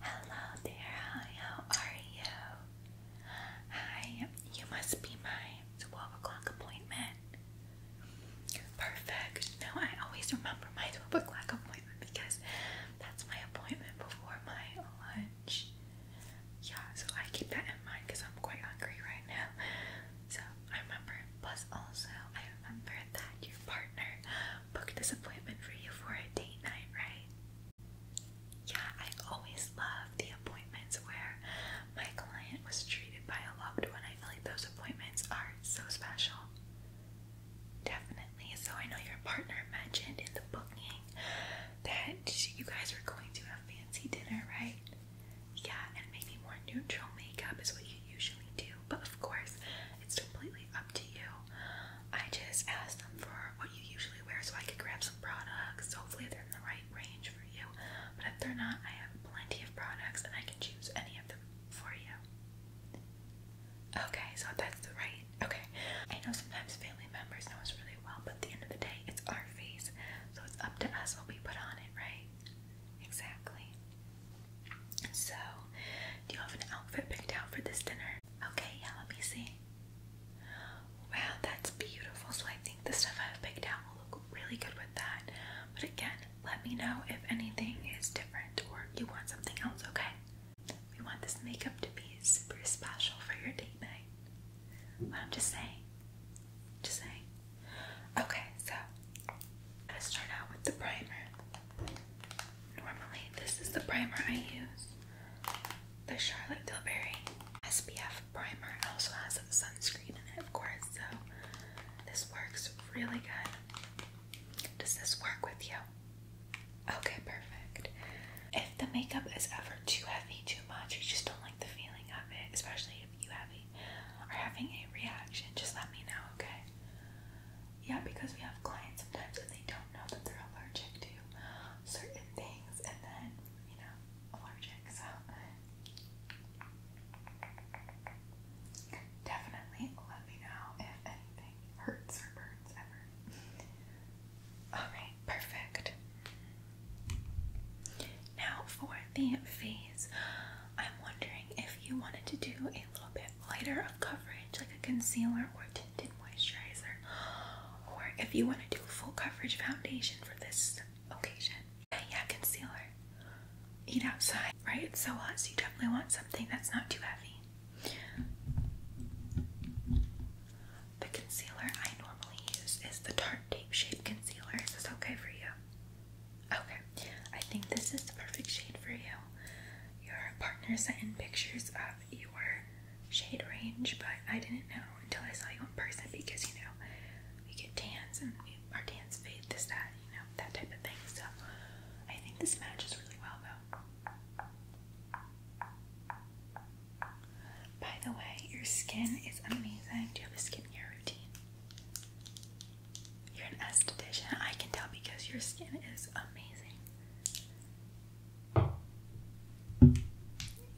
Hello there, how are you? Hi, you must be my 12 o'clock appointment. Perfect. No, I always remember my 12 o'clock appointment because that's my appointment before my lunch. Yeah, so I keep that in mind because I'm quite hungry right now. So I remember, plus also, I remember that your Book booked this appointment for you for a date night, right? Yeah, I always love the appointments where my client was treated by a loved one. I feel like those appointments are so special. Definitely. So I know your partner mentioned in the booking that you guys were going to have fancy dinner, right? Yeah, and maybe more neutral makeup is what you usually do. But of course, it's completely up to you. I just asked them for what you usually wear so I could grab some products. Hopefully, they're in the right range for you. But if they're not, I have plenty of products and I can choose any of them for you. Okay, so that's the right. Okay. I know sometimes family members know us really well, but at the end of the day, it's our face. So it's up to us what we put on it, right? Exactly. So, do you have an outfit picked out for this dinner? Okay, yeah, let me see. Wow, that's beautiful. So, I think the stuff I've picked out will look really good with that. But again, let me know if anything is different or you want something else, okay? We want this makeup to be super special for your date night. Well, I'm just saying. Just saying. Okay, so let's start out with the primer. Normally, this is the primer I use the Charlotte Tilbury SPF primer. It also has a sunscreen in it, of course, so this works really good. Does this work with you? Okay, perfect. If the makeup is ever too heavy, too much, you just don't like the feeling of it, especially if you have are having a reaction, just let me know, okay? yeah, because we have clients sometimes and they don't know that they're allergic to certain things and then, you know, allergic. So, definitely let me know if anything hurts or burns ever. Alright, perfect. Now for the face. I'm wondering if you wanted to do a little bit lighter of coverage, like a concealer or tinted moisturizer, or if you want to do full coverage foundation for this occasion. yeah, concealer. Eat outside, right? It's so hot, so you definitely want something that's not too heavy. The concealer I normally use is the Tarte Tape Shape Concealer. Is this okay for you? Okay, I think this is the perfect shade for you. Your partner sent in pictures of your shade range, but I didn't know until I saw you in person because you know we get tans and our tans fade, this, that, you know, that type of thing. So I think this matches really well though. By the way, your skin is amazing. Do you have a skincare routine? You're an esthetician. I can tell because your skin is amazing.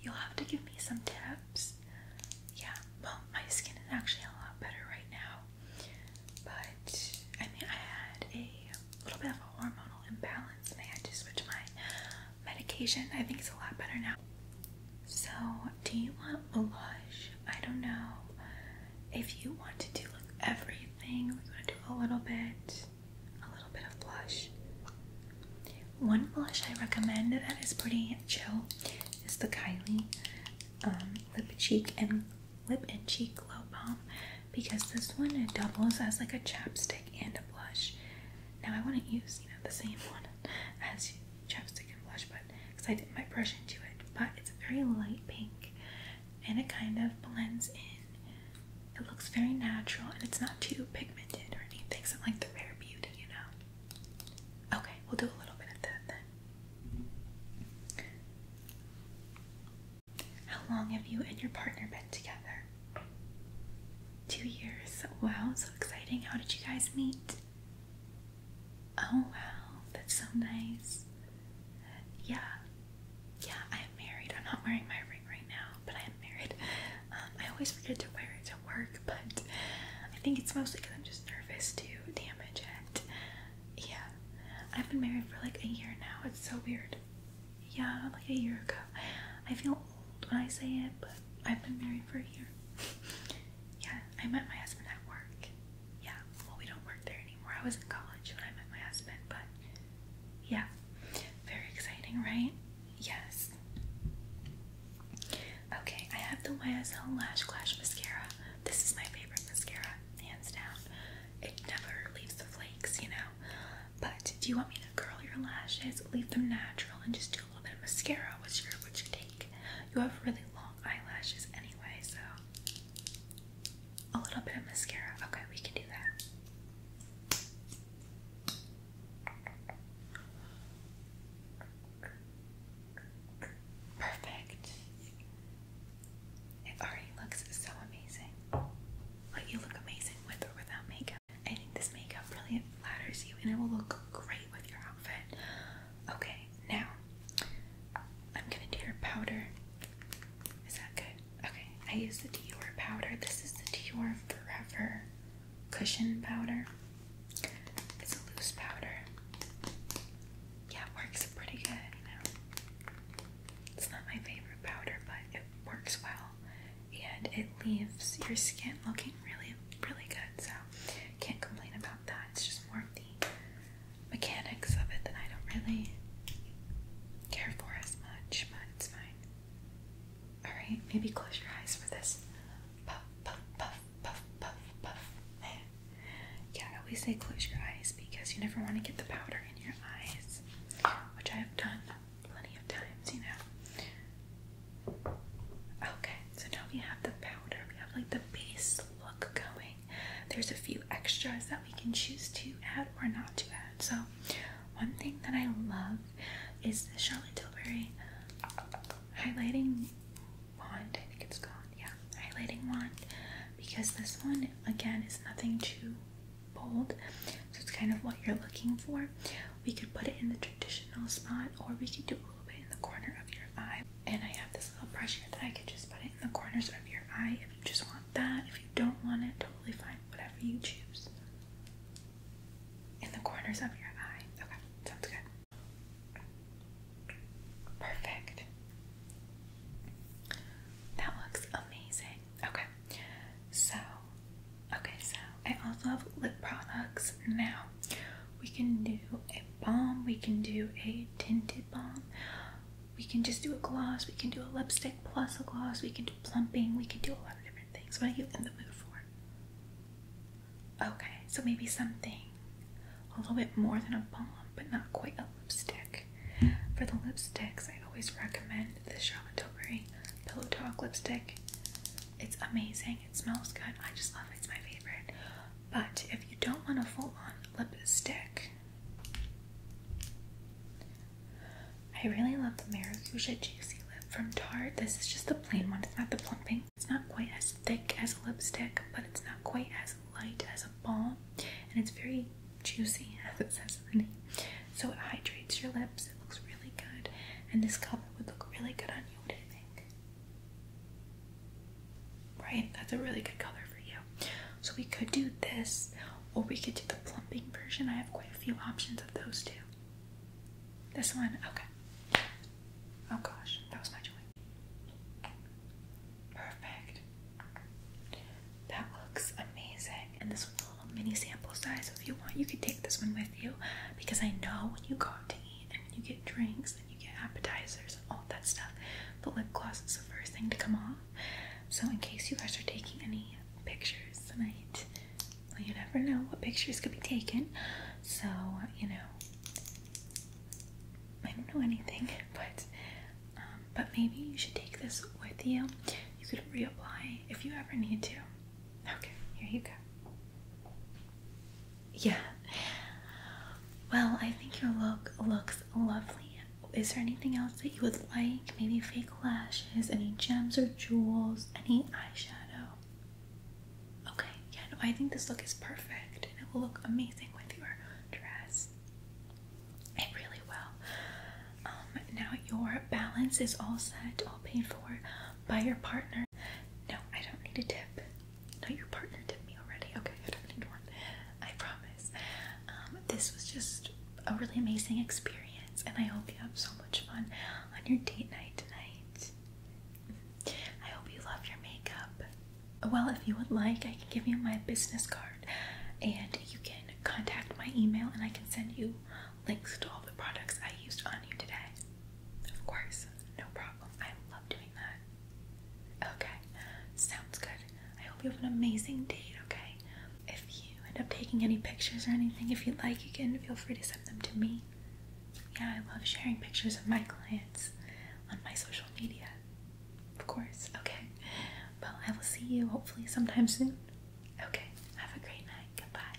You'll have to give me some tips. Yeah, well, my skin is actually a lot better right now. But I mean, I had a little bit of a hormonal imbalance and I had to switch my medication. I think it's a lot better now. So, do you want a blush? I don't know if you want to do like everything, we're gonna do a little bit, a little bit of blush. One blush I recommend that is pretty chill is the Kylie um, Lip Cheek and Lip and Cheek Glow Bomb because this one it doubles as like a chapstick and a blush. Now I wouldn't use you know the same one as chapstick and blush, but because I dipped my brush into it. But it's a very light pink and it kind of blends in. It looks very natural and it's not too pigmented or anything. So like the rare beauty, you know. Okay, we'll do a little bit of that then. How long have you and your partner been together? Two years. Wow, so exciting. How did you guys meet? Oh wow, that's so nice. Yeah, yeah, I am married. I'm not wearing my ring right now, but I am married. Um, I always forget to wear it to work, but I think it's mostly because I'm just nervous to damage it. Yeah, I've been married for like a year now. It's so weird. Yeah, like a year ago. I feel old when I say it, but I've been married for a year. yeah, I met my husband at work yeah, well, we don't work there anymore. I was in college when I met my husband, but yeah, very exciting, right? Yes. Okay, I have the YSL Lash Clash mascara. This is my favorite mascara, hands down. It never leaves the flakes, you know. But do you want me to curl your lashes, leave them natural, and just do a little bit of mascara? What's your what you take? You have really long eyelashes anyway, so a little bit of mascara. Okay, we can do that. Perfect. It already looks so amazing. Like you look amazing with or without makeup. I think this makeup really flatters you and it will look great with your outfit. Okay, now I'm gonna do your powder. Is that good? Okay, I use the Dior powder. This is the Dior Forever Cushion Powder. It's a loose powder. Yeah, it works pretty good, you know. It's not my favorite powder, but it works well. And it leaves your skin looking really, really good. So I can't complain about that. It's just more of the mechanics of it that I don't really care for as much, but it's fine. Alright, maybe close your eyes for this. Puff, puff, puff, puff, puff, puff. yeah, I always say close your eyes because you never want to get the powder in your eyes, which I have done plenty of times, you know. Okay, so now we have the powder. We have like base look going. There's a few extras that we can choose to add or not to add. So, one thing that I love is the Charlotte Tilbury highlighting wand. I think it's gone. yeah, highlighting wand. Because this one, again, is nothing too bold, so it's kind of what you're looking for. We could put it in the traditional spot, or we could do in the corner of your eye. And I have this little brush here that I can just put it in the corners of your eye if you just want that. If you don't want it, totally fine. Whatever you choose. In the corners of your eye. Okay, sounds good. Perfect. That looks amazing. Okay, so, okay, so I also have lip products now we can do a balm, we can do a tinted balm, we can just do a gloss, we can do a lipstick plus a gloss, we can do plumping, we can do a lot of different things. What are you in the mood for? Okay, so maybe something a little bit more than a balm, but not quite a lipstick. For the lipsticks, I always recommend the Charlotte Tilbury Pillow Talk lipstick. It's amazing. It smells good. I just love it. It's my favorite. But if you don't want a full-on lipstick, I really love the Maracuja Juicy Lip from Tarte. This is just the plain one. It's not the plumping. It's not quite as thick as a lipstick, but it's not quite as light as a balm. And it's very juicy, as it says in the name. So it hydrates your lips. It looks really good. And this color would look really good on you. What do you think? Right? That's a really good color for you. So we could do this, or we could do the plumping version. I have quite a few options of those two. This one? Okay. Oh gosh, that was my joy. Perfect. That looks amazing. And this is a little mini sample size. So if you want, you could take this one with you because I know when you go to eat. And and you get drinks and you get appetizers and all that stuff. But lip gloss is the first thing to come off. So in case you guys are taking any pictures tonight, well, you never know what pictures could be taken. So, you know, I don't know anything, but um, but maybe you should take this with you. You could reapply if you ever need to. Okay, here you go. Yeah. Well, I think your look looks lovely. Is there anything else that you would like? Maybe fake lashes, any gems or jewels, any eyeshadow? Okay, yeah, no, I think this look is perfect and it will look amazing with your dress. It really will. Um, now your balance is all set, all paid for by your partner. No, I don't need a tip. No, your partner tipped me already. Okay, I don't need one. I promise. Um, this was just a really amazing experience, and I hope you have so much fun on your date night tonight. I hope you love your makeup. Well, if you would like, I can give you my business card, and you can contact my email, and I can send you links to all the products I used on you today. Of course, no problem. I love doing that. Okay, sounds good. I hope you have an amazing date, okay? If you end up taking any pictures or anything, if you'd like, you can feel free to send them to me. Yeah, I love sharing pictures of my clients on my social media. Of course, okay. Well, I will see you hopefully sometime soon. Okay, have a great night. Goodbye.